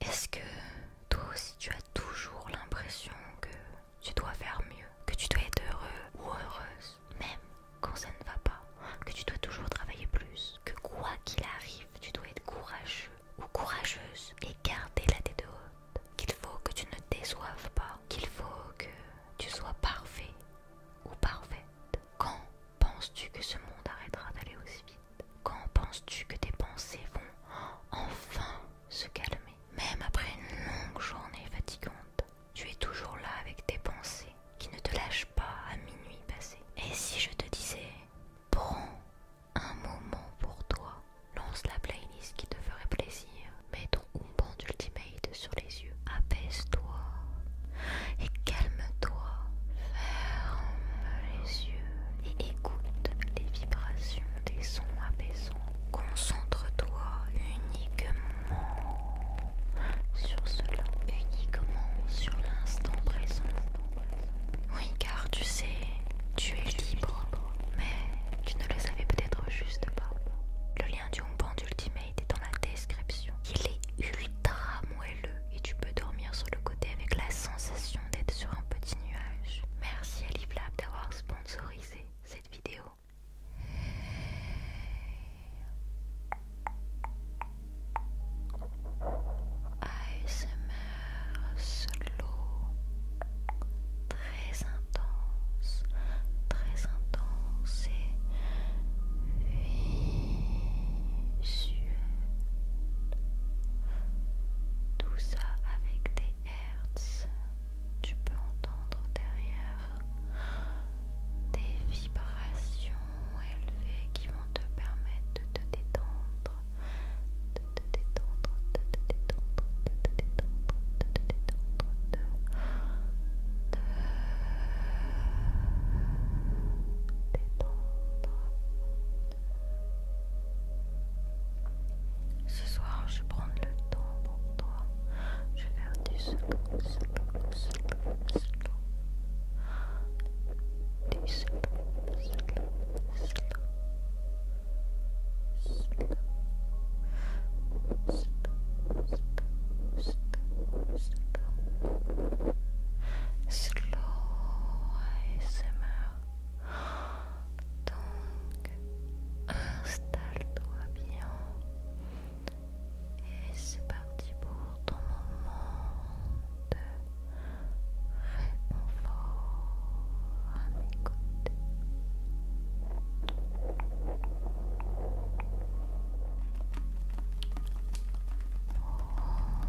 Est-ce que toi aussi tu as toujours l'impression que tu dois faire mieux, que tu dois être heureux ou heureuse, même quand ça ne va pas, que tu dois toujours travailler plus, que quoi qu'il arrive, tu dois être courageux ou courageuse et garder la tête haute, qu'il faut que tu ne te déçoives pas, qu'il faut que tu sois parfait ou parfaite. Quand penses-tu que ce monde arrêtera d'aller aussi vite quand penses-tu que tes pensées vont enfin se calmer Même après une longue journée fatigante, tu es toujours là avec tes pensées qui ne te lâchent pas à minuit passé. Et si je te disais, prends un moment pour toi, lance la playlist qui te ferait plaisir, mets ton coupon Ultimate sur les yeux, apaise-toi et calme-toi, ferme les yeux et écoute les vibrations des sons apaisants. Concentre-toi uniquement sur cela, uniquement sur l'instant présent. Oui, car tu sais, tu es libre, mais tu ne le savais peut-être juste pas. Le lien du bon Ultimate est dans la description. Il est ultra moelleux et tu peux dormir sur le côté avec la sensation d'être sur un petit Merci à Liblab d'avoir sponsorisé cette vidéo. ASMR solo très intense, très intense et visuel. Tout ça avec des hertz. Tu peux entendre derrière des vibrations élevées qui vont te permettre de te détendre, de te détendre, de te détendre, de te détendre, de te détendre, de, te détendre. Ce soir, je vais prendre le temps pour toi. Je vais faire du slow, slow, slow, slow. slow, slow, slow. Slow, slow, slow, slow. Slow donc, installe-toi bien. Et c'est parti pour ton moment de réconfort à mes côtés.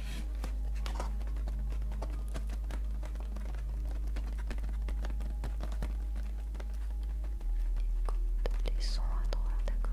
Écoute les sons à droite, à gauche.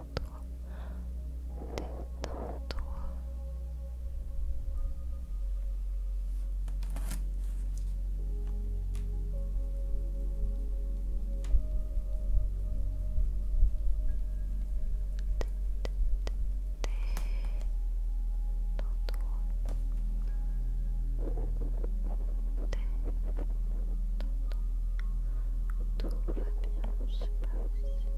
détends-toi. Tout va bien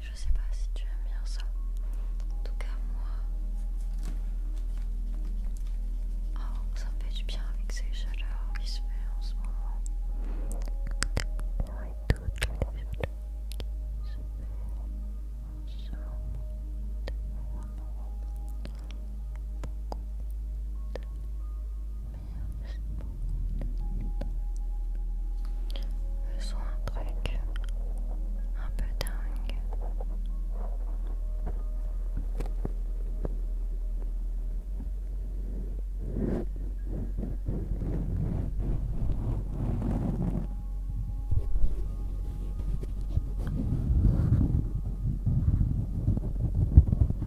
Je sais pas si tu aimes bien ça. En tout cas, moi, oh, ça me fait du bien avec ces chaleurs qui se font en ce moment. Et toutes les chaleurs qui se fait en ce moment. Beaucoup de Faisons un truc un peu dingue.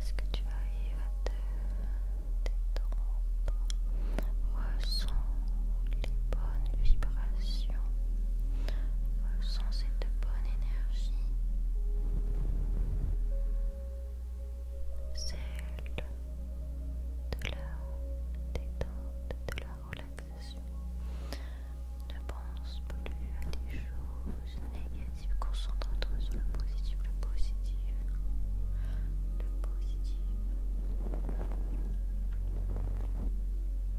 Est-ce que tu vas arrives à te détendre Ressens les bonnes vibrations. Ressens cette énergie, celle de la détente, de la relaxation. Ne pense plus à des choses négatives, concentre-toi sur le positif, le positif, le positif.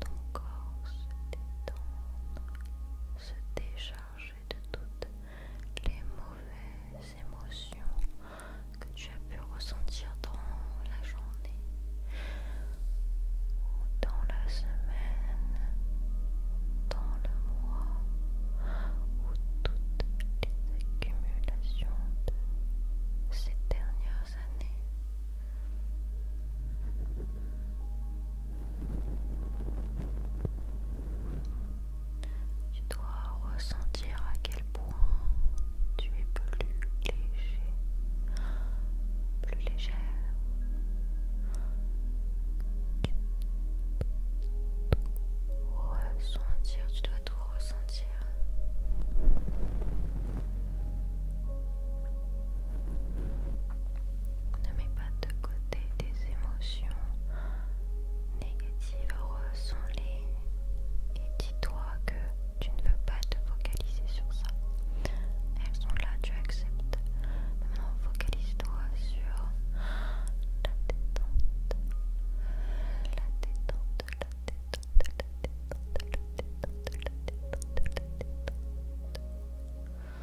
ton corps se détendre, se décharger de toutes les mauvaises émotions que tu as pu ressentir dans la journée ou dans la semaine, dans le mois, ou toutes les accumulations de ces dernières années. Tu dois ressentir à quel point tu es plus léger, plus légère. Ressentir, tu dois tout ressentir. Ne mets pas de côté tes émotions négatives, ressens-les et dis-toi que tu ne veux pas te focaliser sur ça. Elles sont là, tu acceptes. Maintenant, focalise-toi sur la détente. La détente, la détente, la détente, la détente, la détente, la détente.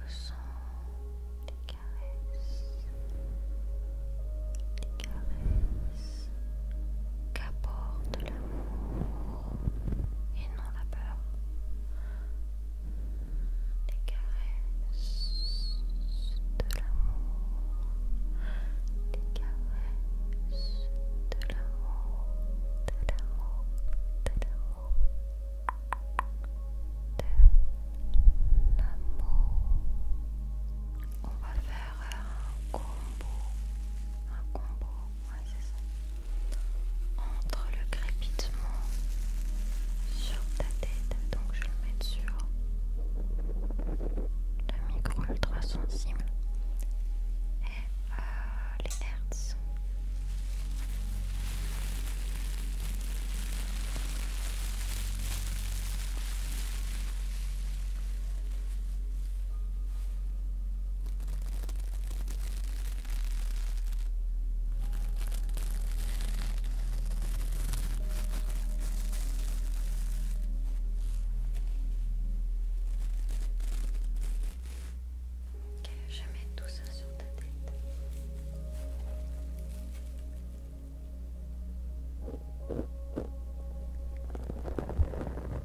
Ressens des caresses, des caresses qu'apporte l'amour et non la peur. des caresses de l'amour, des caresses de l'amour, de l'amour, de l'amour, de l'amour. On va faire un combo, un combo entre le crépitement sur ta tête, donc je vais le mettre sur le micro ultra sensible et euh, les hertz. Ok, je mets tout ça sur ta tête.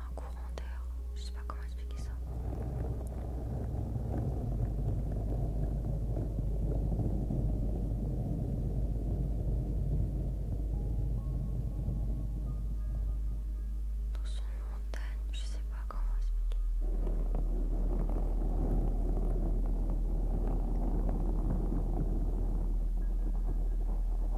un courant d'air. Je sais pas comment expliquer ça. Dans son montagne, je sais pas comment expliquer.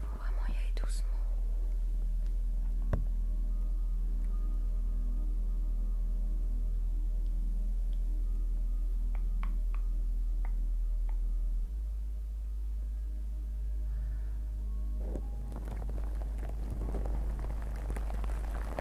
faut vraiment y aller doucement.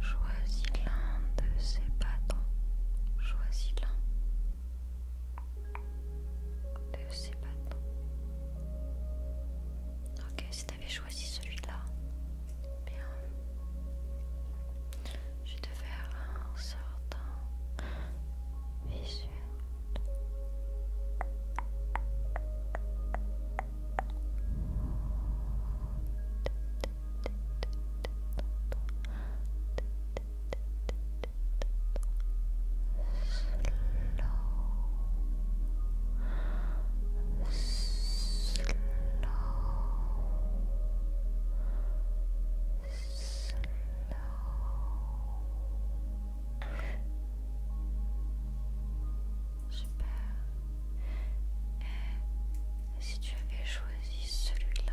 Choisis l'un de ces bâtons. Choisis l'un de Ok, si t'avais choisi celui-là, bien. Je vais te faire un sortant. Super. Et si tu avais choisi celui-là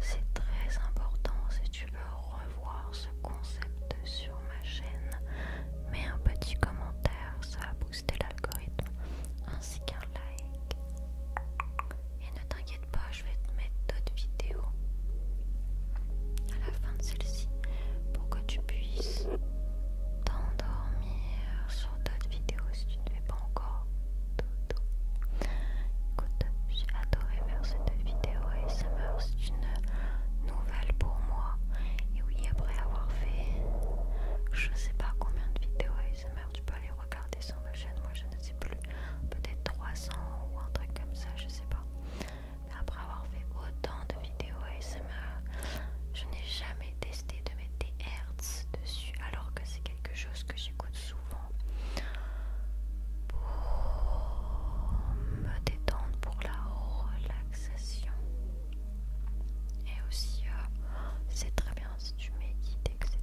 C'est très important si tu veux revoir ce concept sur ma chaîne. Mets un petit commentaire, ça va booster l'algorithme, ainsi qu'un like. Et ne t'inquiète pas, je vais te mettre d'autres vidéos à la fin de celle-ci pour que tu puisses t'endormir sur d'autres vidéos si tu ne fais pas encore Écoute, j'ai adoré faire cette vidéo et ça meurt, c'est une nouvelle pour moi. Et oui, après avoir fait je sais pas combien de vidéos ASMR tu peux aller regarder sur ma chaîne, moi je ne sais plus, peut-être 300 ou un truc comme ça, je sais pas après avoir fait autant de vidéos ASMR, je n'ai jamais testé de mettre des hertz dessus alors que c'est quelque chose que j'écoute souvent pour me détendre, pour la relaxation. Et aussi, euh, c'est très bien si tu médites, etc.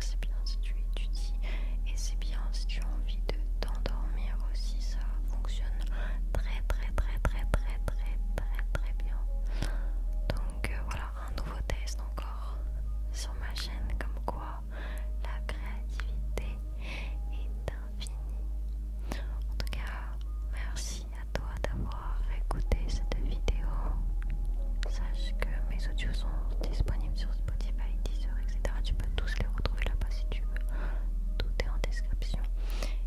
C'est bien si tu étudies et c'est bien si tu as envie de t'endormir aussi. Ça fonctionne très, très, très, très, très, très très très bien. Donc euh, voilà, un nouveau test encore sur ma chaîne comme quoi la créativité est infinie. En tout cas, merci à toi d'avoir écouté cette vidéo. Sache que mes audios sont disponibles sur Spotify, Deezer, etc. Tu peux tous les retrouver là-bas si tu veux. Tout est en description.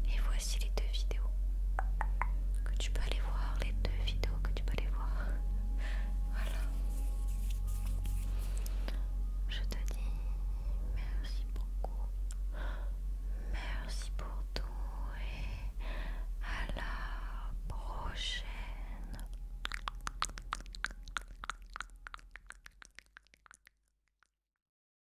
Et voilà voici les deux vidéos que tu peux aller voir, les deux vidéos que tu peux aller voir. Voilà. Je te dis merci beaucoup. Merci pour tout et à la prochaine.